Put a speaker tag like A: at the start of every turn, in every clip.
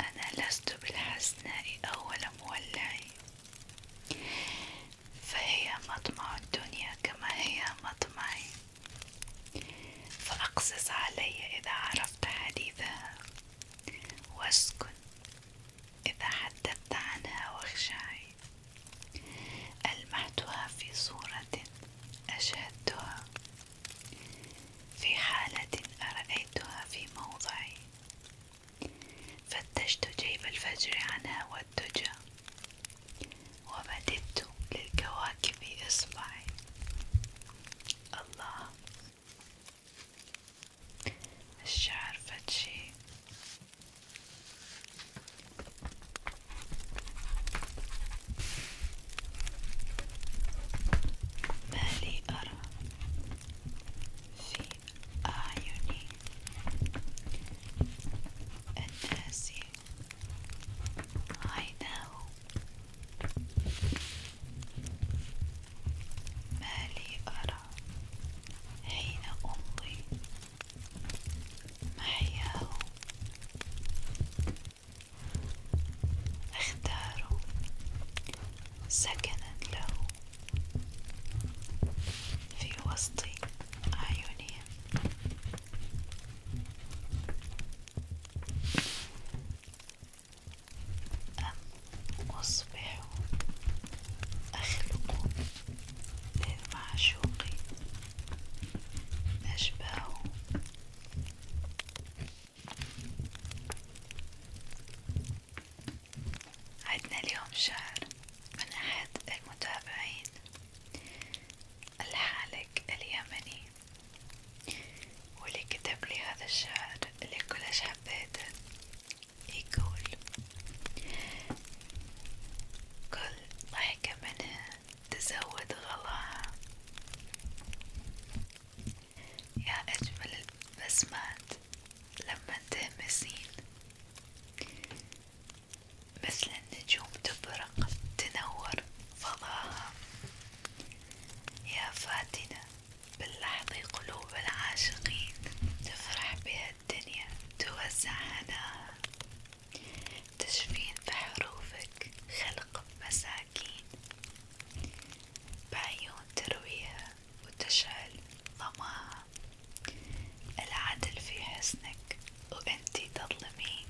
A: أنا لست بالحسناء أول مولع فهي مطمع الدنيا كما هي مطمعي فأقصص علي إذا عرفت حديثها واسكن إذا حدثت عنها واخشعي ألمحتها في صورة أشهدتها في حالة أرأيتها في موضعي فتشت جيب الفجر عنها والدجى ومددت للكواكب إصبعي الله الشعر فتشي ما لي أرى في أعيني الناس عيناه ما لي أرى حين أمضي محياه اختاروا سكنا له في وسط أعينهم أم أصبحوا أخلق إذ معشوقي أشباه عدنا اليوم شعر من أحد المتابعين الحالك اليمني واللي كتب لي هذا الشعر اللي كلش حبيته يقول كل ضحكة منها تزود غلاها يا أجمل البسمات لما تهمسين مثل النجوم تبرق تنور فضاها يا فاتنة باللحظة قلوب العاشقين تفرح بها الدنيا توزع هناها تجفين بحروفك خلق مساكين بعيون ترويها وتشعل ظماها العدل في حسنك وانتي تظلمين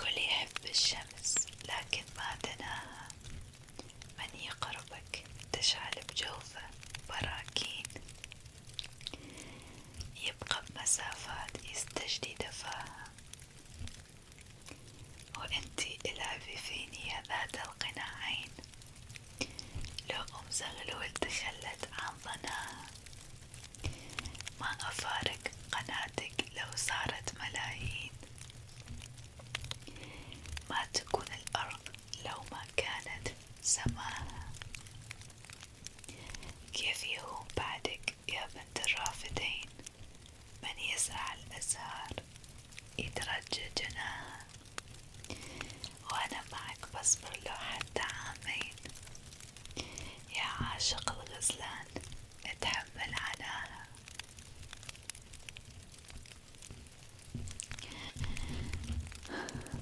A: كل يحب الشمس لكن ما دناها من يقرب جوك تشعل بجوفه براكين يبقى بمسافات يستجدي دفاها وانتي العبي فيني يا ذات القناعين لو أم زغلول تخلت عن ظناها ما أفارق قناتك لو صارت ملايين ما تكون الأرض لو ما كانت سماها كيف يهون بعدك يا بنت الرافدين من يسعى الأزهار يترجى جناها وأنا معك بصبر له حتى عامين يا عاشق الغزلان اتحمل عناها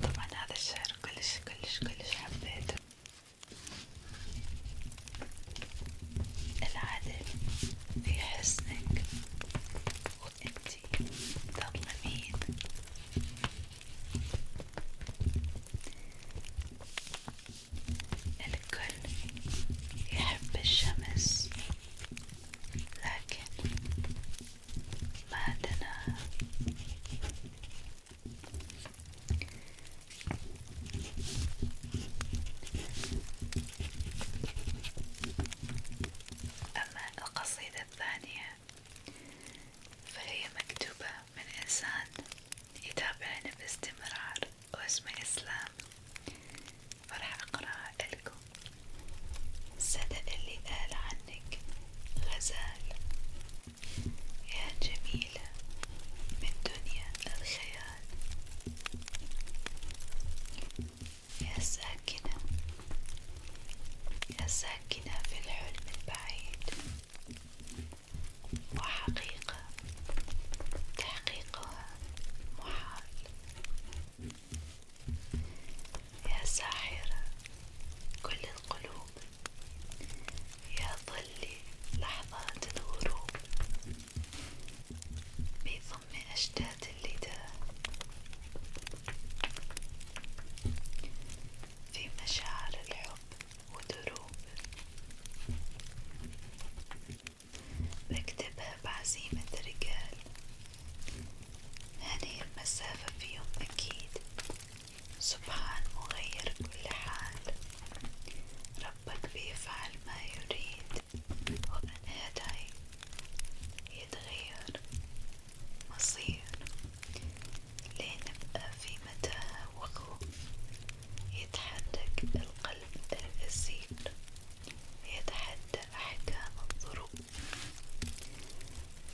A: طبعا هذا الشعر كلش كلش كلش حبيته العدل في حسنك وانتي تظلمين الكل يحب الشمس لكن معدنات أما القصيدة الثانية فهي مكتوبة من إنسان يتابعني باستمرار واسمه إسلام، فراح أقرأها لكم صدق اللي قال عنك غزال يا جميلة من دنيا الخيال يا ساكنة يا ساكنة في الحلم البعيد وحقيقة تحقيقها محال يا ساحرة كل القلوب يا ظلي لحظات الغروب بضم أشتات اللداء في مشاعر الحب ودروب بكتبها بعزيمة رجال هذه المسافة فيهم أكيد سبحان مغير كل حال ربك بيفعل ما يريد ومن هداي يتغير مصير لنبقى في متاهة وخوف يتحرك القلب الأسير يتحدى أحكام الظروف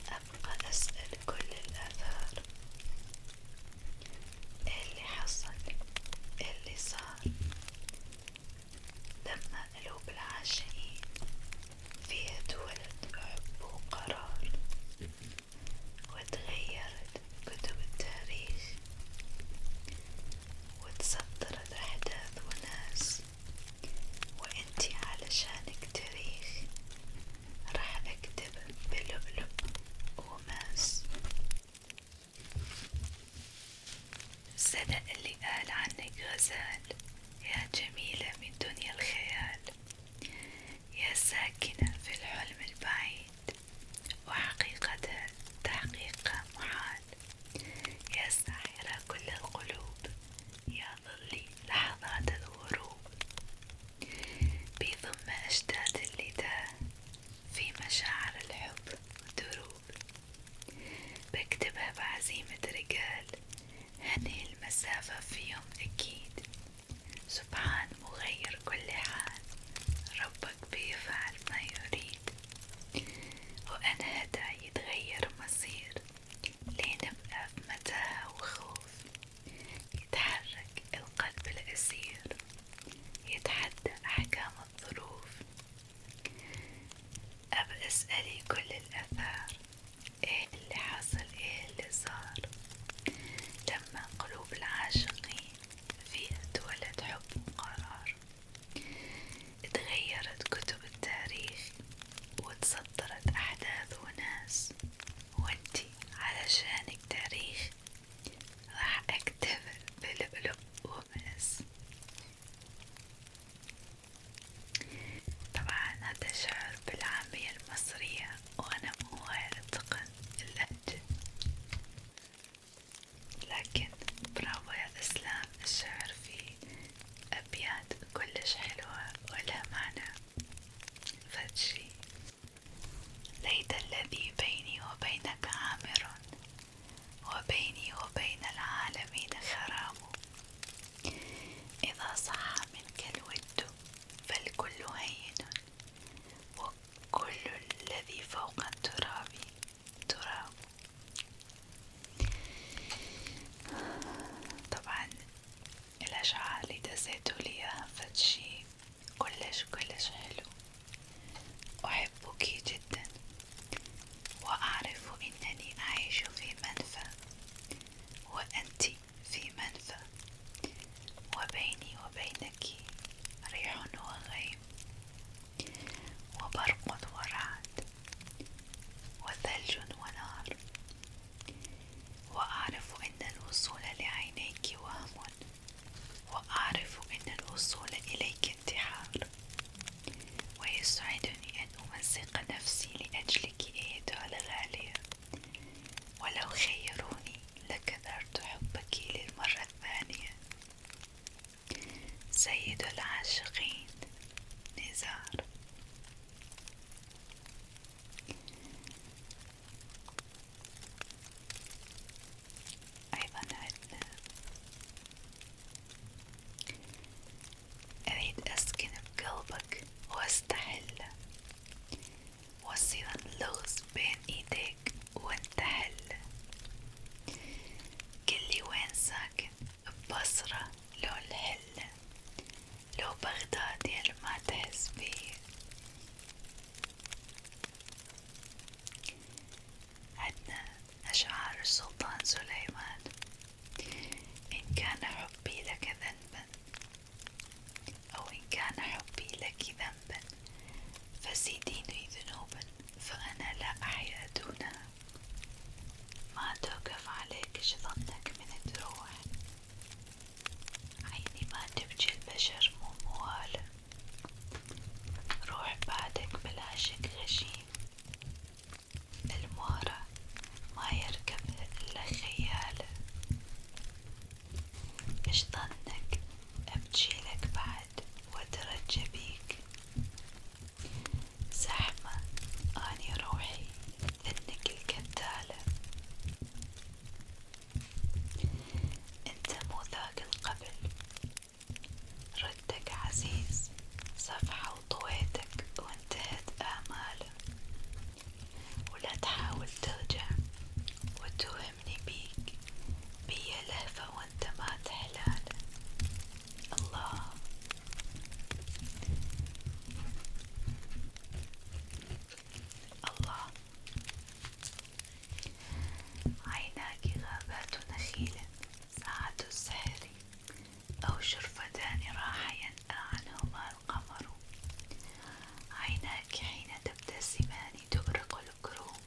A: أبقى أسأل كل الآثار إيه اللي حصل إيه اللي صار لما قلوب العاشقين فيها تولد حب وقرار وتغيرت كتب التاريخ وتصدرت أحداث وناس وانتي علشانك تاريخ راح اكتب بلؤلؤ وماس صدق اللي قال عنك غزال يا جميلة من دنيا الخيال يا ساكنة في الحلم البعيد وحقيقة تحقيق محال يا ساحرة كل القلوب يا ظلي لحظات الغروب بضم أشتات اللداء في مشاعر الحب ودروب بكتبها بعزيمة رجال هني المسافة في يوم أكيد سبحان مغير كل حال ربك بيفعل ما يريد وأنا هدى يتغير مصير لين بنغمتها وخوف يتحرك القلب الأسير يتحدى أحكام الظروف أبى أسألي كل الأثار إيه اللي حصل إيه اللي صار لما قلوب العاشقين فيها تولد حب وقرار اتغيرت كتب التاريخ وتصدرت أحداث وناس وانتي علشانك تاريخ راح أكتفل بلؤلؤ وماس طبعا هذا شعر بالعامية المصرية وأنا مو هايل أتقن اللهجة لكن برافو يا إسلام الشعر فيه أبيات كلش حلوة ولا معنى فدشي ليت الذي بيني وبينك عامر وبيني وبين العالمين خرام إذا صح منك الود فالكل هين وكل الذي فوق التراب تراب طبعا الأشعة اللي دزيتوا لي فتشي كلش كلش حلو أحبك جدا وأعرف أنني أعيش في منفى وأنت في منفى وبيني وبينك ريح وغيم وبرق ورعد وثلج ونار وأعرف أن الوصول لعينيك وهم وأعرف أن الوصول إليك انتحار ويسعدني أن أمزق نفسي لأجلك أيتها الغالية ولو خيروني لكثرت حبك للمرة الثانية سيد العاشقين نزار أيضا عندنا أريد أسكن بقلبك وأستحله وأصير اللغز بين إيديك وأنت حله قلي وين ساكن ببصرة لو الحلة لو بغداد يا اللي يعني ما تحس بيه عدنا أشعار السلطان سليمان إن كان حبي لك ذنبا أو إن كان حبي لك ذنبا فزيديني ذنوبا فأنا لا أحيا دونها ما توقف عليك شظنك من تروح عيني ما تبجي البشر مو موال روح بعدك بلا شك غشيم المهرة ما يركبها إلا خيال إيش ظنك أبجيلك بعد وأترجى بيك زحمة أني روحي إنك الكذالة أنت مو ذاك القبل ردك عزيز صفحة وطويتك وانتهت آماله ولا تحاول ترجع وتوهمني بيك بيا لهفة وانت ما تحلال الله الله عيناك غابات نخيل ساعة السحر أو شرفتان راح ينأى عنهما القمر عيناك حين تبتسمان تغرق الكروم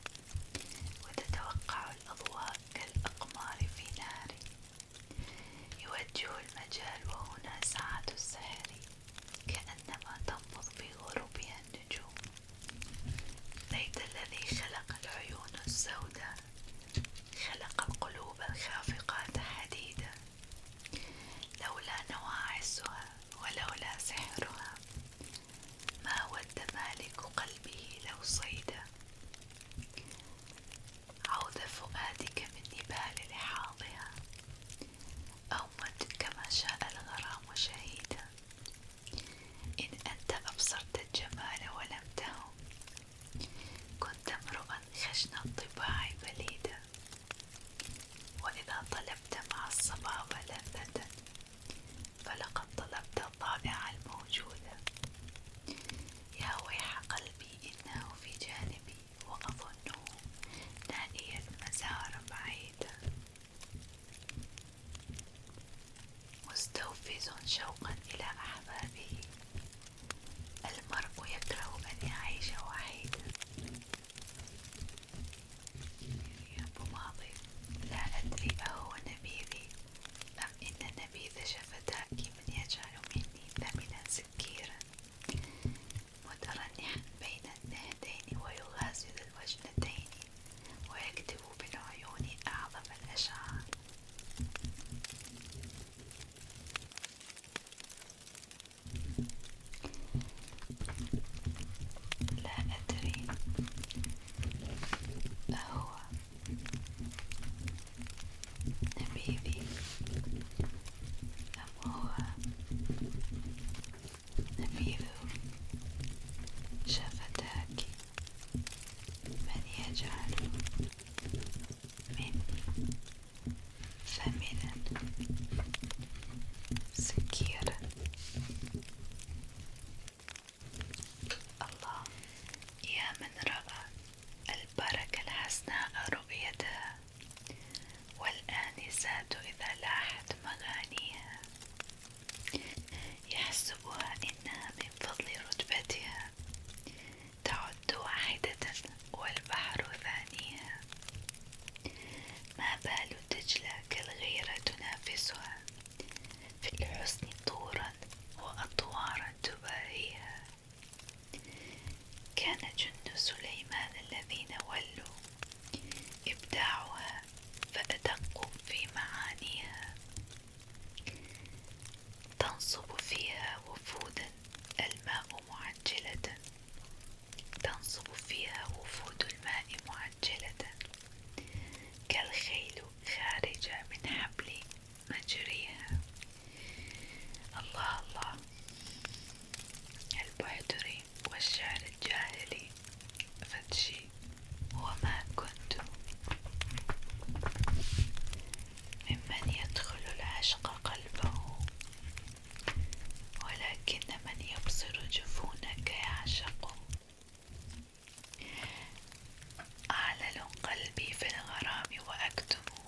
A: وتتوقع الأضواء كالأقمار في نهر يوديه المجال وهنا ساعة السحر كأنما تنبض في غروبها النجوم ليت الذي خلق العيون السوداء خلق القلوب الخافقات حديدا لولا نواعسها ولولا سحرها ما ود مالك قلبه لو صيدا عوذ فؤادك من نبال لحاظها أومت كما شاء الغرام شهيدا إن أنت أبصرت الجمال ولم تهم كنت امرؤا خشن الطباع بليدا وإذا طلبت مع الصبابة لذة فلقد طلبت الطائعة الموجودة يا ويح قلبي إنه في جانبي وأظنه نائيا مسارا بعيدا مستوفز شوقا إلى أحبابه المرء يكره أن يعيش وحيدا يا أبو ماضي لا أدري أهو نبيذي أم نعم، إن نبيذ شفتاك من يجعل مني ثمنا سكيرا مترنحا بين النهدين ويغازل الوجنتين ويكتب بالعيون أعظم الأشعار لا أدري أهو نبيذي أم هو نبيذ شفتاك من يجعل من ثمنا سكيرا الله يا من رأى البركة الحسناء رؤيتها والآنسات إذا لاحت مغانيها يحسبها إنها من فضل رتبتها تعد واحدة والبحر ثانيها ما بال دجلة كالغيرة تنافسها في الحسن طورا وأطوارا تباريها كان جند سليمان الذين ولوا إبداعها فأدق في معانيها تنصب فيها وفودا الماء معجلة تنصب فيها وفود الماء معجلة كالخيل خارجة من حبل أجريها الله الله البعدري والشعر الجاهلي فتشي وما كنت ممن يدخل العشق قلبه ولكن من يبصر جفونك يعشقه أعلل قلبي في الغرام وأكتمه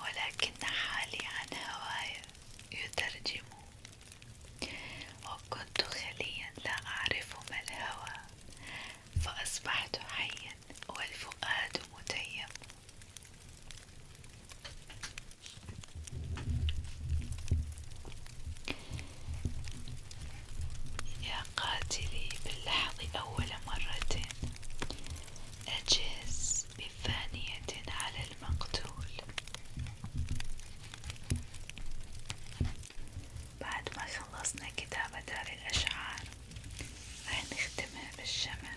A: ولكن حالي عن هواي يترجم وكنت خليا لا أعرف ما الهوى فأصبحت حيا والفؤاد متيم يا قاتلي باللحظ أول مرة أجهز بثانية على المقتول بعد ما خلصنا كتابة هذه الأشعار راح نختمها بالشمع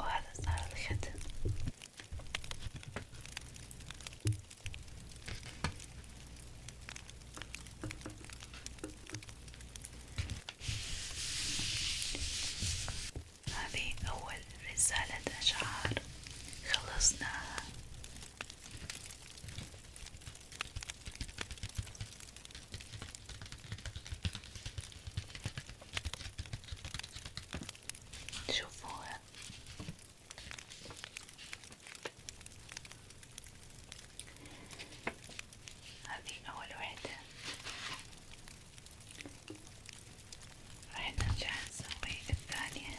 A: وهذا صار الختم هذه أول رسالة أشعار خلصناها شوفوها هذه أول وحدة راح نرجع نسوي الثانية